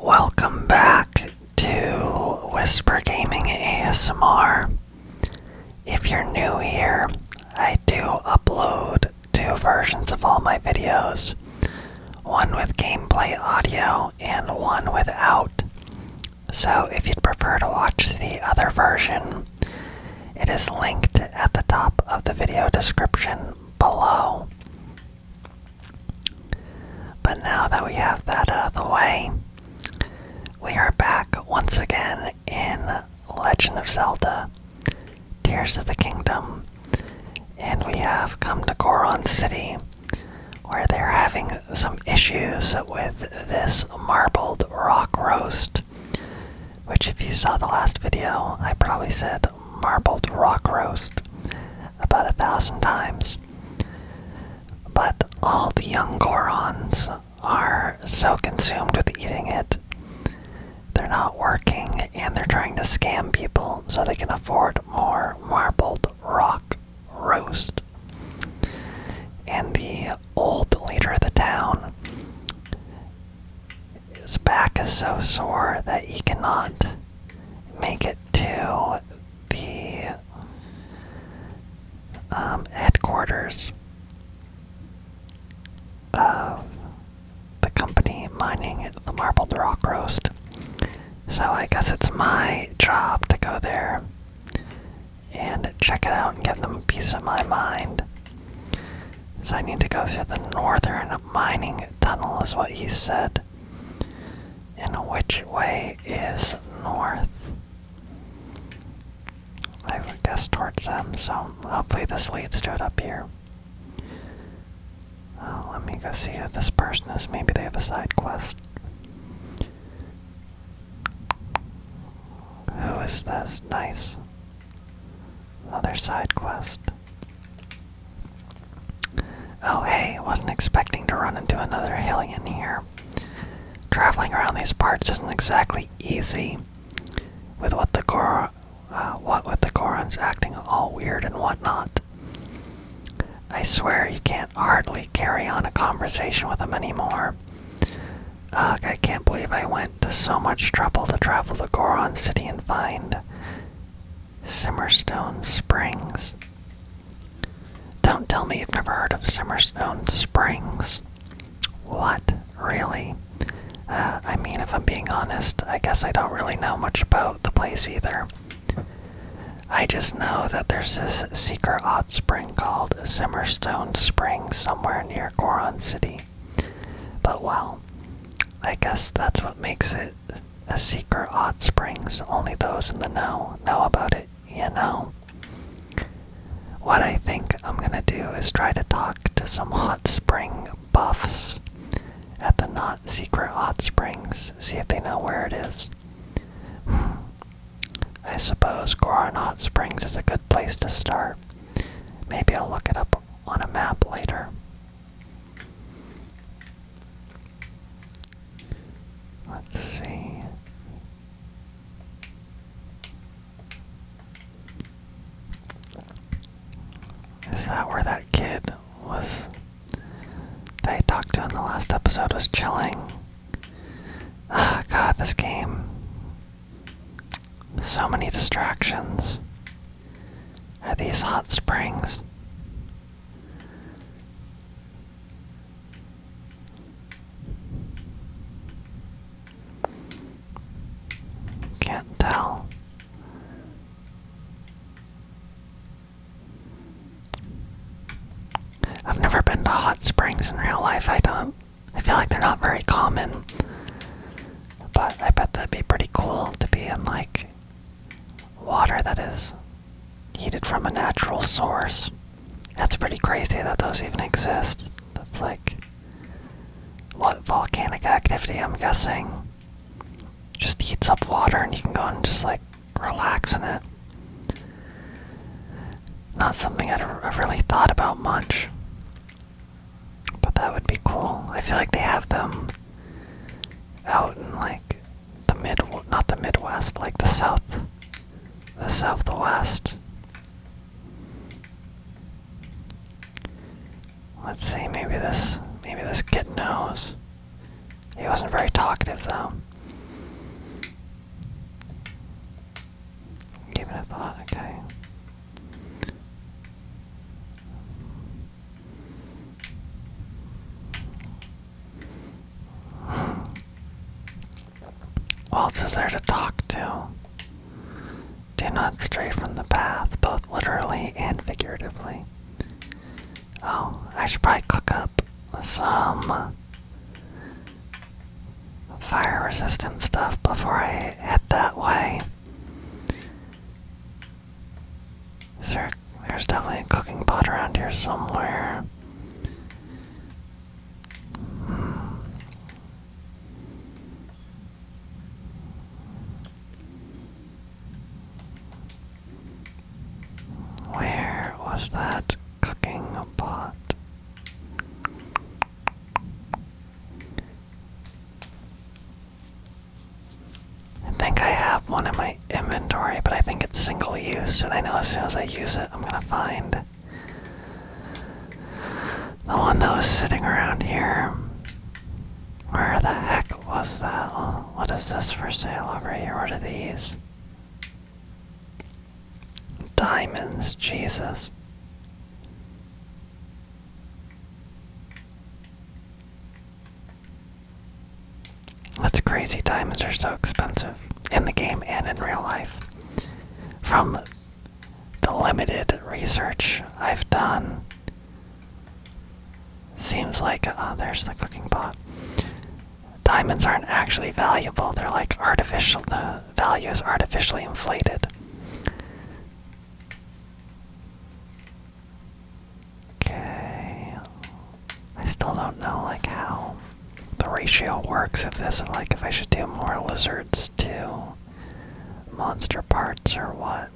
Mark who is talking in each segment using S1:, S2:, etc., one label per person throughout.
S1: Welcome back to Whisper Gaming ASMR. If you're new here, I do upload two versions of all my videos one with gameplay audio and one without. So if you'd prefer to watch the other version, it is linked at the top of the video description below. But now that we have that out of the way, we are back once again in Legend of Zelda Tears of the Kingdom, and we have come to Goron City, where they're having some issues with this marbled rock roast. Which, if you saw the last video, I probably said marbled rock roast about a thousand times. But all the young Gorons are so consumed with eating it, they're not working and they're trying to scam people so they can afford more marbled rock roast. And the old leader of the town his back is so sore that he cannot make it to the um, headquarters of the company mining the marbled rock roast. So I guess it's my job to go there and check it out and give them a piece of my mind. So I need to go through the northern mining tunnel, is what he said. In which way is north? I would guess towards them, so hopefully this leads to it up here. Oh, let me go see who this person is. Maybe they have a side quest. Who is this? Nice. Other side quest. Oh hey, wasn't expecting to run into another alien here. Traveling around these parts isn't exactly easy. With what the Gor uh, what with the Gorons acting all weird and whatnot. I swear you can't hardly carry on a conversation with them anymore. Ugh, I can't believe I went to so much trouble to travel to Goron City and find Simmerstone Springs. Don't tell me you've never heard of Simmerstone Springs. What? Really? Uh, I mean, if I'm being honest, I guess I don't really know much about the place either. I just know that there's this secret hot spring called Simmerstone Springs somewhere near Goron City. But well, I guess that's what makes it a secret hot springs. Only those in the know know about it, you know. What I think I'm gonna do is try to talk to some hot spring buffs at the not secret hot springs, see if they know where it is. Hmm. I suppose Goron Springs is a good place to start. Maybe I'll look it up on a map later. Let's see. Is that where that kid was They talked to in the last episode was chilling? oh, God, this game. So many distractions. Are these hot springs? Can't tell. I've never been to hot springs in real life. I don't. I feel like they're not very common. But I bet that'd be pretty cool to be in like Water that is heated from a natural source. That's pretty crazy that those even exist. That's like. What volcanic activity, I'm guessing. Just heats up water and you can go and just like relax in it. Not something i I've really thought about much. But that would be cool. I feel like they have them out in like the mid not the Midwest, like the South, the South, the West. Let's see, maybe this maybe this kid knows. He wasn't very talkative though. Give it a thought, okay. Waltz is there to talk to. Do not stray from the path, both literally and figuratively. Oh, I should probably cook up some fire resistant stuff before I head that way there, there's definitely a cooking pot around here somewhere. Where was that cooking pot? I think I have one in my inventory, but I think it's single use, and I know as soon as I use it, I'm gonna find the one that was sitting around here. Where the heck was that? What is this for sale over here? What are these? Diamonds, Jesus. What's crazy diamonds are so expensive in the game and in real life. From the limited research I've done, seems like uh, there's the cooking pot. Diamonds aren't actually valuable; they're like artificial. The value is artificially inflated. Okay. I still don't know like how the ratio works If this, like if I should do more lizards to monster parts or what.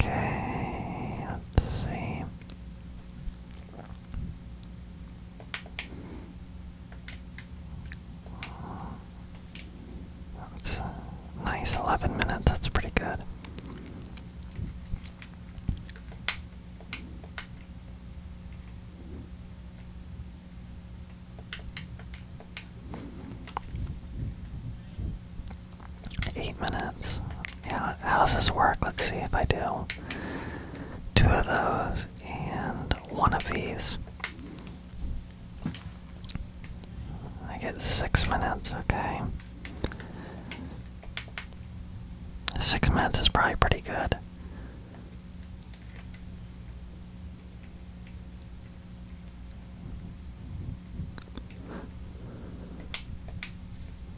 S1: Okay, let's see. nice 11 minutes, that's pretty good. Eight minutes. Yeah, how does this work? Let's see if I do two of those and one of these. I get six minutes, okay. Six minutes is probably pretty good.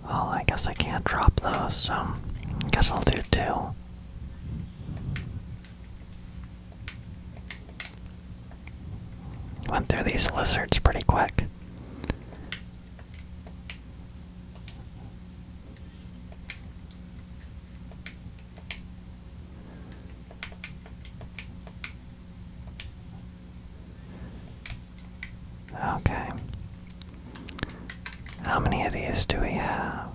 S1: Well, I guess I can't drop those, so I guess I'll do two. Went through these lizards pretty quick. Okay. How many of these do we have?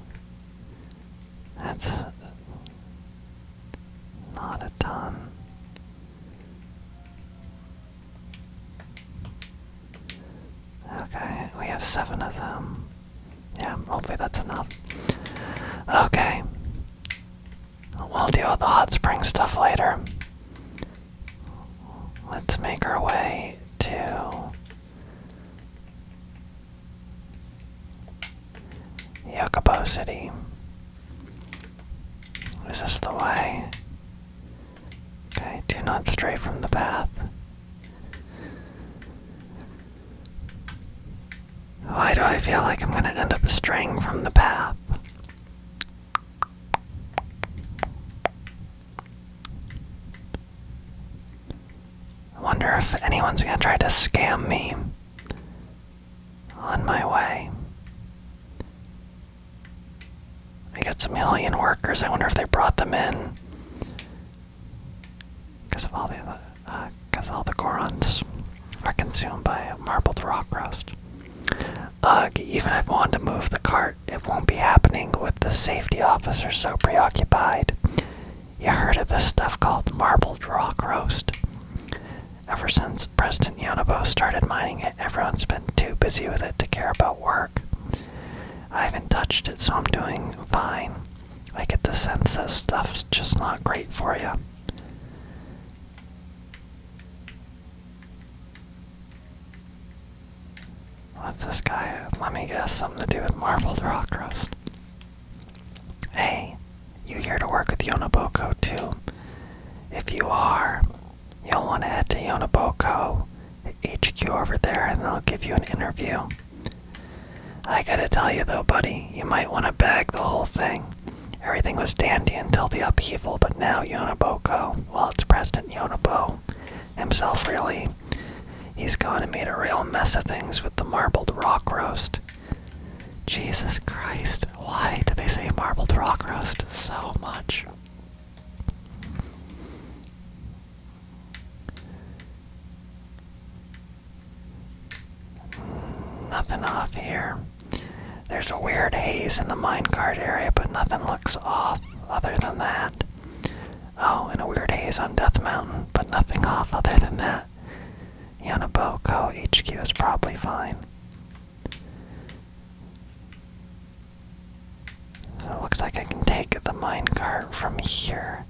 S1: That's not a ton. Okay, we have seven of them. Yeah, hopefully that's enough. Okay. We'll deal with the hot spring stuff later. Let's make our way to Yokobo City. Is this the way? Okay, do not stray from the path. Why do I feel like I'm gonna end up straying from the path? I wonder if anyone's gonna try to scam me on my way. We got some alien workers. I wonder if they brought them in. Because of all the, uh, cause all the Gorons are consumed by marbled rock roast. Ugh, even if I wanted to move the cart, it won't be happening with the safety officer so preoccupied. You heard of this stuff called marbled rock roast? Ever since President Yonobo started mining it, everyone's been too busy with it to care about work. I haven't touched it, so I'm doing fine. I get the sense that stuff's just not great for you. What's this guy? Let me guess, something to do with Marvel's rock crust. Hey, you here to work with Yonobo too? If you are, You'll want to head to Yonaboco HQ over there and they'll give you an interview. I gotta tell you though, buddy, you might want to bag the whole thing. Everything was dandy until the upheaval, but now Yonaboco, well, it's President Yonobo himself, really. He's gone and made a real mess of things with the marbled rock roast. Jesus Christ, why did they say marbled rock crust so much? Nothing off here. There's a weird haze in the minecart area, but nothing looks off other than that. Oh, and a weird haze on Death Mountain, but nothing off other than that. Yonaboko HQ is probably fine it looks like I can take the minecart from here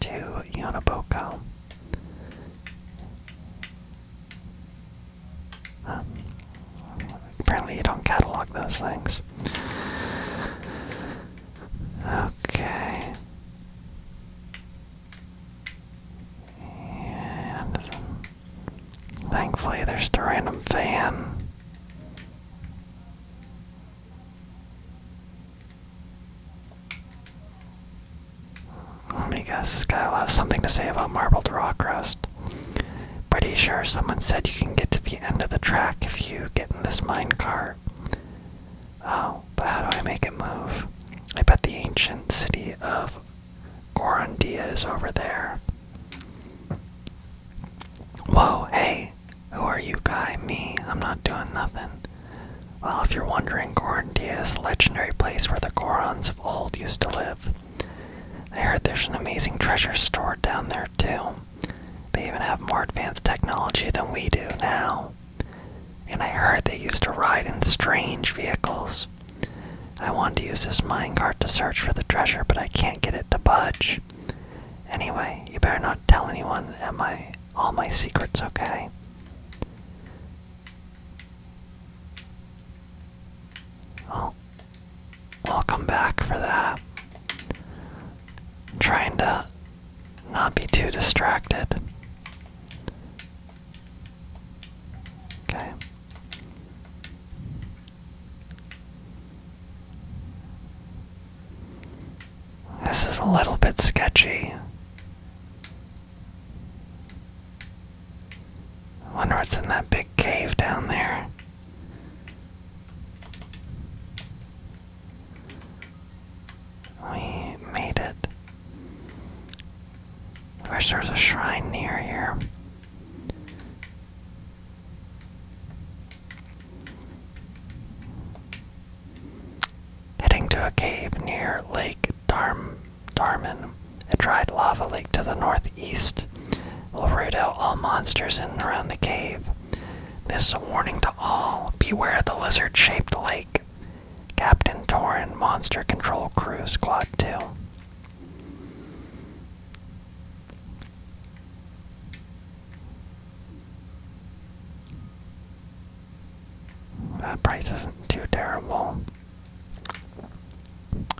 S1: to Yonaboco. Um, apparently, you don't catalog those things. Okay. Thankfully, there's the random fan. I me guess, Kyle has something to say about marbled rock crust. Pretty sure someone said you can get to the end of the track if you get in this minecart. Oh, but how do I make it move? I bet the ancient city of Gorondia is over there. Whoa, hey, who are you, guy? Me, I'm not doing nothing. Well, if you're wondering, Gorondia is a legendary place where the Gorons of old used to live. I heard there's an amazing treasure stored down there, too. They even have more advanced technology than we do now. And I heard they used to ride in strange vehicles. I want to use this minecart to search for the treasure, but I can't get it to budge. Anyway, you better not tell anyone am I all my secrets, okay? Oh. I'll come back for that. trying to not be too distracted. Okay. This is a little bit sketchy. wonder what's in that big cave down there. We made it. I wish there was a shrine near here. Heading to a cave near Lake Darm Darman, a dried lava lake to the northeast, will root out all monsters in and around the cave. This is a warning to all. Beware the lizard-shaped lake. Captain Torin Monster Control Cruise Squad 2. That price isn't too terrible.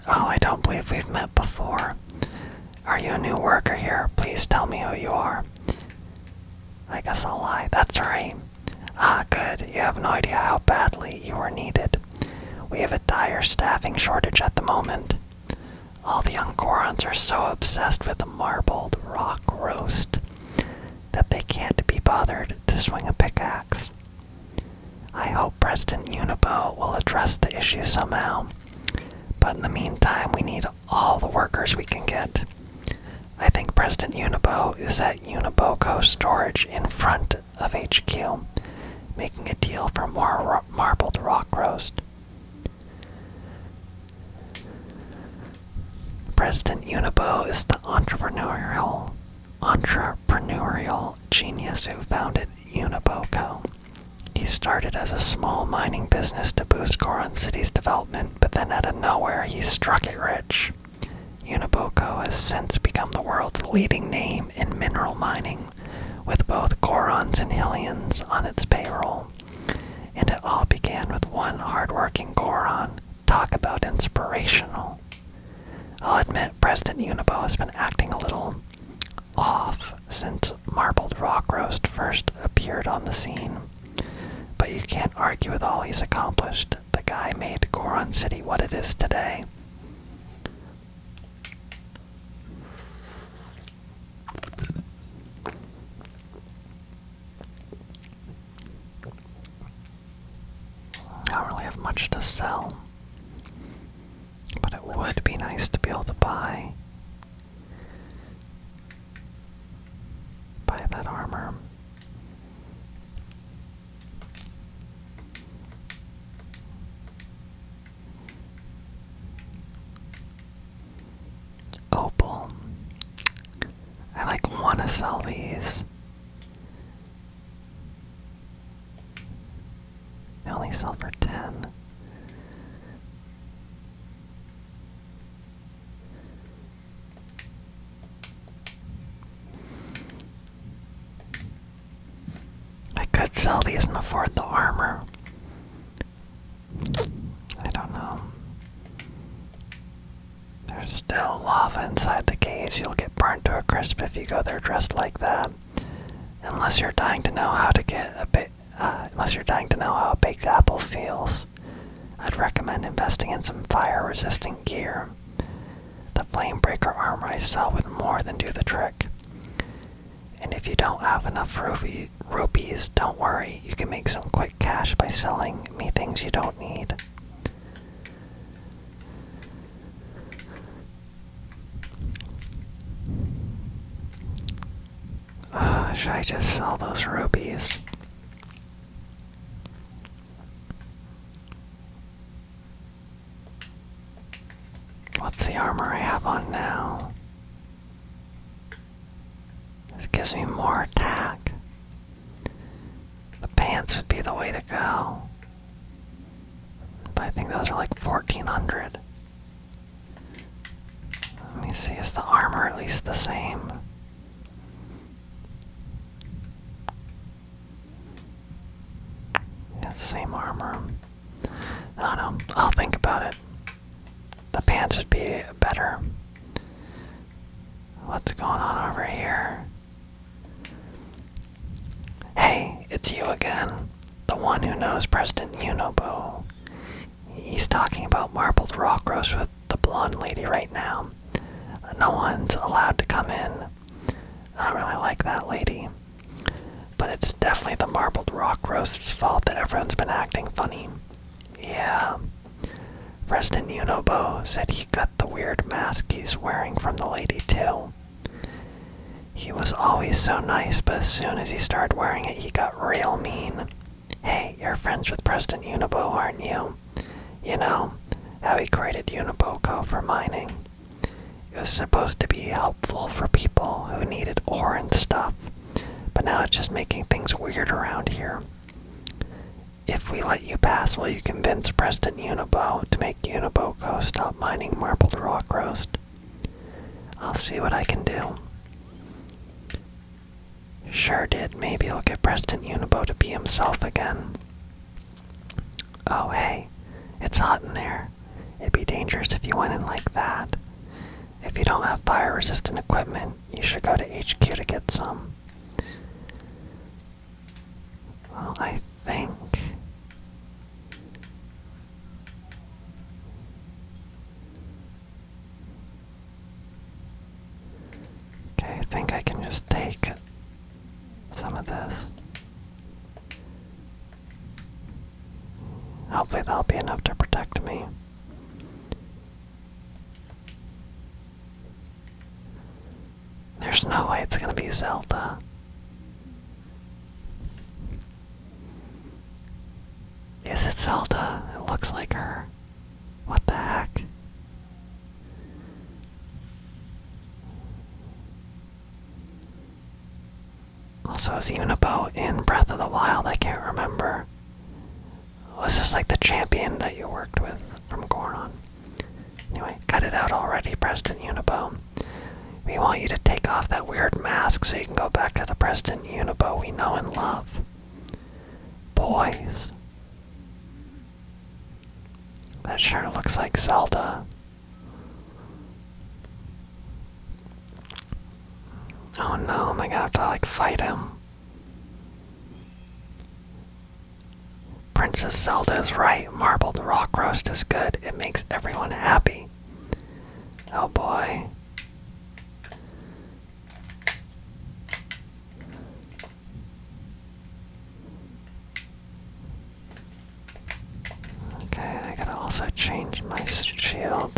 S1: Oh, I don't believe we've met before. Are you a new worker here? Please tell me who you are. I guess I'll lie. That's right. Ah, good. You have no idea how badly you are needed. We have a dire staffing shortage at the moment. All the Uncorons are so obsessed with the marbled rock roast that they can't be bothered to swing a pickaxe. I hope President Unibo will address the issue somehow, but in the meantime, we need all the workers we can get. I think President Unibo is at Uniboco Storage in front of HQ, making a deal for more marbled rock roast. President Unibo is the entrepreneurial entrepreneurial genius who founded Uniboco. He started as a small mining business to boost Goron City's development, but then out of nowhere he struck it rich. Uniboco has since become the world's leading name in mineral mining, with both Gorons and Hillians on its payroll. And it all began with one hardworking Goron. Talk about inspirational. I'll admit, President Unibo has been acting a little off since Marbled Rock Roast first appeared on the scene. But you can't argue with all he's accomplished the guy made Goron City what it is today. I don't really have much to sell, but it would be nice to be able to buy buy that armor. Opal. I like want to sell these. They only sell for 10. I could sell these and afford the armor. I don't know. There's still lava inside the caves. You'll get burned to a crisp if you go there dressed like that. Unless you're dying to know how to get a bit, uh, unless you're dying to know how a baked apple feels, I'd recommend investing in some fire-resistant gear. The Flamebreaker armor I sell would more than do the trick. And if you don't have enough rupees, don't worry, you can make some quick cash by selling me things you don't need. Ah, should I just sell those rupees? What's the armor I have on now? This gives me more attack. The pants would be the way to go. But I think those are like 1400. Let me see, is the armor at least the same? Yeah, same armor. I know. I'll think about it. The pants would be better. What's going on over here? Hey, it's you again. The one who knows President Unobo. He's talking about marbled rockrose with the blonde lady right now. No one's allowed to come in. I really like that lady. But it's definitely the marbled rock roast's fault that everyone's been acting funny. Yeah. Resident Unobo said he got the weird mask he's wearing from the lady too. He was always so nice, but as soon as he started wearing it, he got real mean. Hey, you're friends with President Unibo, aren't you? You know, how he created Uniboco for mining. It was supposed to be helpful for people who needed ore and stuff, but now it's just making things weird around here. If we let you pass, will you convince Preston Unibo to make Uniboco stop mining marbled rock roast? I'll see what I can do. Sure did. Maybe I'll get Preston Unibo to be himself again. Oh, hey, it's hot in there. It'd be dangerous if you went in like that. If you don't have fire resistant equipment, you should go to HQ to get some. Well, I think. Okay, I think I can just take some of this. Hopefully that'll be enough to protect me. There's no way it's gonna be Zelda. Is it Zelda? It looks like her. What the heck? Also, is Unibo in Breath of the Wild? I can't remember. Was this like the champion that you worked with from Goron? Anyway, cut it out already, President Unibo. We want you to take off that weird mask so you can go back to the President Unibo we know and love. Boys. That sure looks like Zelda. Oh no, am I gonna have to like fight him? Princess Zelda is right. Marbled rock roast is good. It makes everyone happy. Oh boy. Okay, I gotta also change my shield.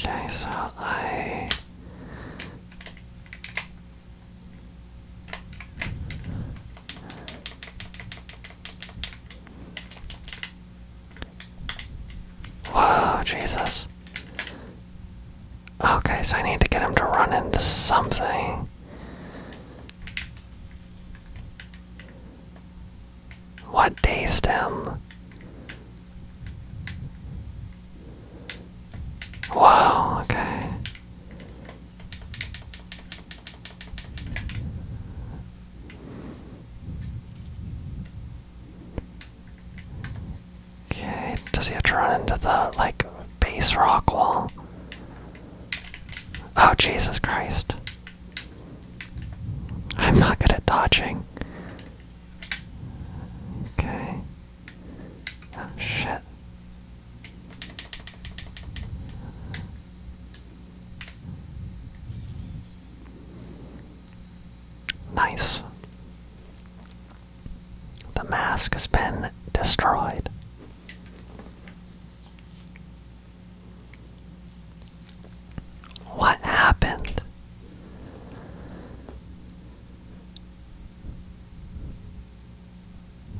S1: Okay, so I Whoa, Jesus. Okay, so I need to get him to run into something. What day stem? Whoa, okay. Okay, does he have to run into the, like, base rock wall? Oh, Jesus Christ. I'm not good at dodging. Okay. Oh, shit. Nice. The mask has been destroyed. What happened?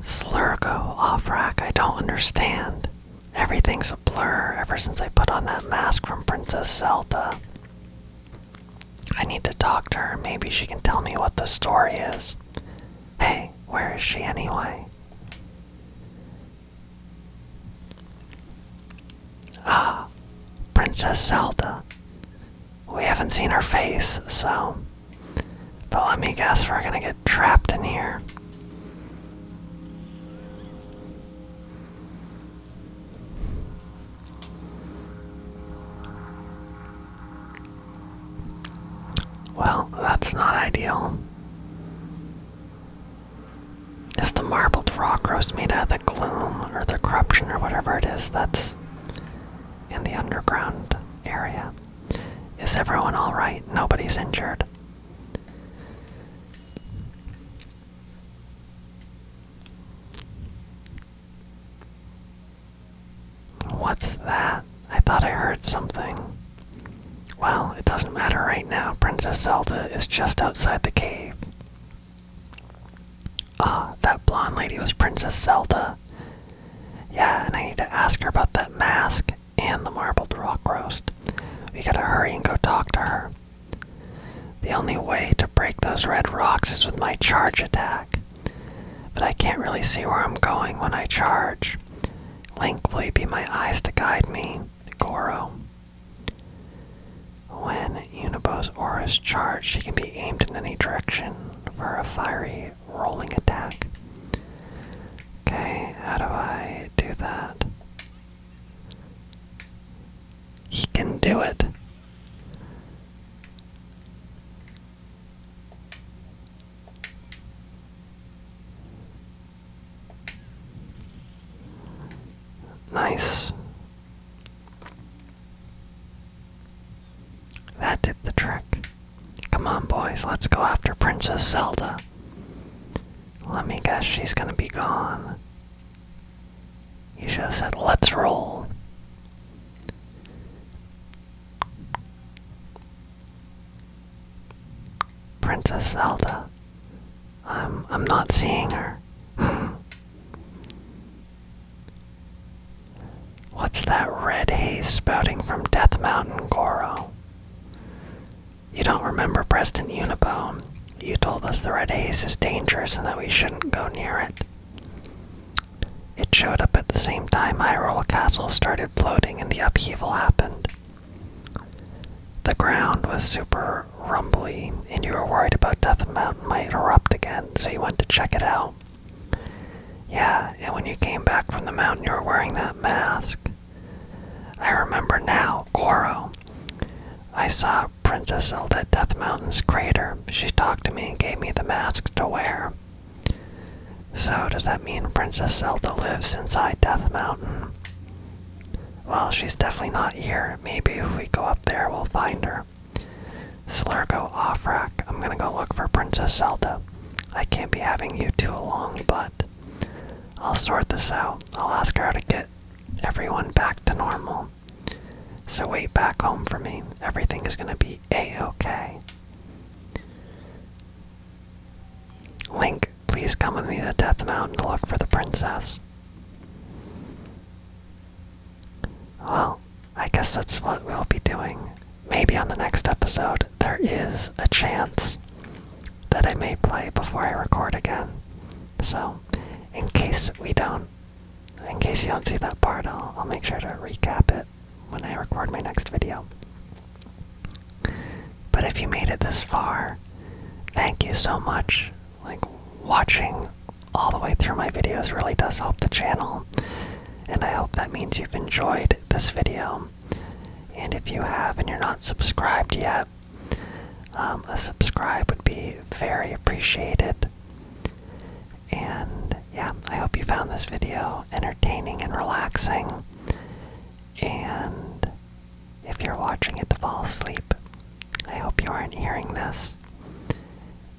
S1: Slurgo, Offrack, I don't understand. Everything's a blur ever since I put on that mask from Princess Zelda. I need to talk to her. Maybe she can tell me what the story is. Hey, where is she anyway? Ah, Princess Zelda. We haven't seen her face, so. But let me guess, we're gonna get trapped in here. Well, that's not ideal. Is the marbled rock roast made out of the gloom or the corruption or whatever it is that's in the underground area? Is everyone alright? Nobody's injured. What's that? I thought I heard something. Well, it doesn't matter right now. Princess Zelda is just outside the cave. Ah, that blonde lady was Princess Zelda. Yeah, and I need to ask her about that mask and the marbled rock roast. We gotta hurry and go talk to her. The only way to break those red rocks is with my charge attack. But I can't really see where I'm going when I charge. Link, will you be my eyes to guide me? Goro. When Unibo's aura is charged, she can be aimed in any direction for a fiery rolling attack. Okay, how do I do that? He can do it. Nice. That did the trick. Come on, boys, let's go after Princess Zelda. Let me guess, she's gonna be gone. You should have said, let's roll. Princess Zelda. I'm, I'm not seeing her. What's that red haze spouting from Death Mountain, Goro? You don't remember Preston Unibo? You told us the red haze is dangerous and that we shouldn't go near it. It showed up at the same time Hyrule Castle started floating and the upheaval happened. The ground was super rumbly, and you were worried about Death Mountain might erupt again, so you went to check it out. Yeah, and when you came back from the mountain, you were wearing that mask. I remember now, Coro. I saw Princess Zelda Death Mountain's crater. She talked to me and gave me the mask to wear. So, does that mean Princess Zelda lives inside Death Mountain? Well, she's definitely not here. Maybe if we go up there, we'll find her. Slurgo Offrak, I'm gonna go look for Princess Zelda. I can't be having you two along, but I'll sort this out. I'll ask her to get everyone back to normal. So, way back home for me, everything is going to be a okay. Link, please come with me to Death Mountain to look for the princess. Well, I guess that's what we'll be doing. Maybe on the next episode, there is a chance that I may play before I record again. So, in case we don't, in case you don't see that part, I'll, I'll make sure to recap it when I record my next video. But if you made it this far, thank you so much. Like, watching all the way through my videos really does help the channel, and I hope that means you've enjoyed this video. And if you have and you're not subscribed yet, um, a subscribe would be very appreciated. And yeah, I hope you found this video entertaining and relaxing. And if you're watching it to fall asleep, I hope you aren't hearing this.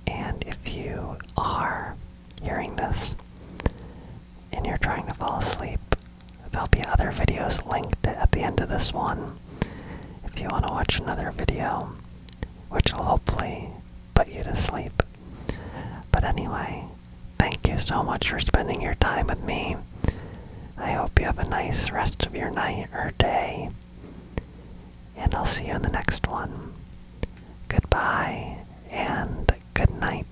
S1: And if you are hearing this and you're trying to fall asleep, there'll be other videos linked at the end of this one if you want to watch another video, which will hopefully put you to sleep. But anyway, thank you so much for spending your time with me. I hope you have a nice rest of your night or day. And I'll see you in the next one. Goodbye and good night.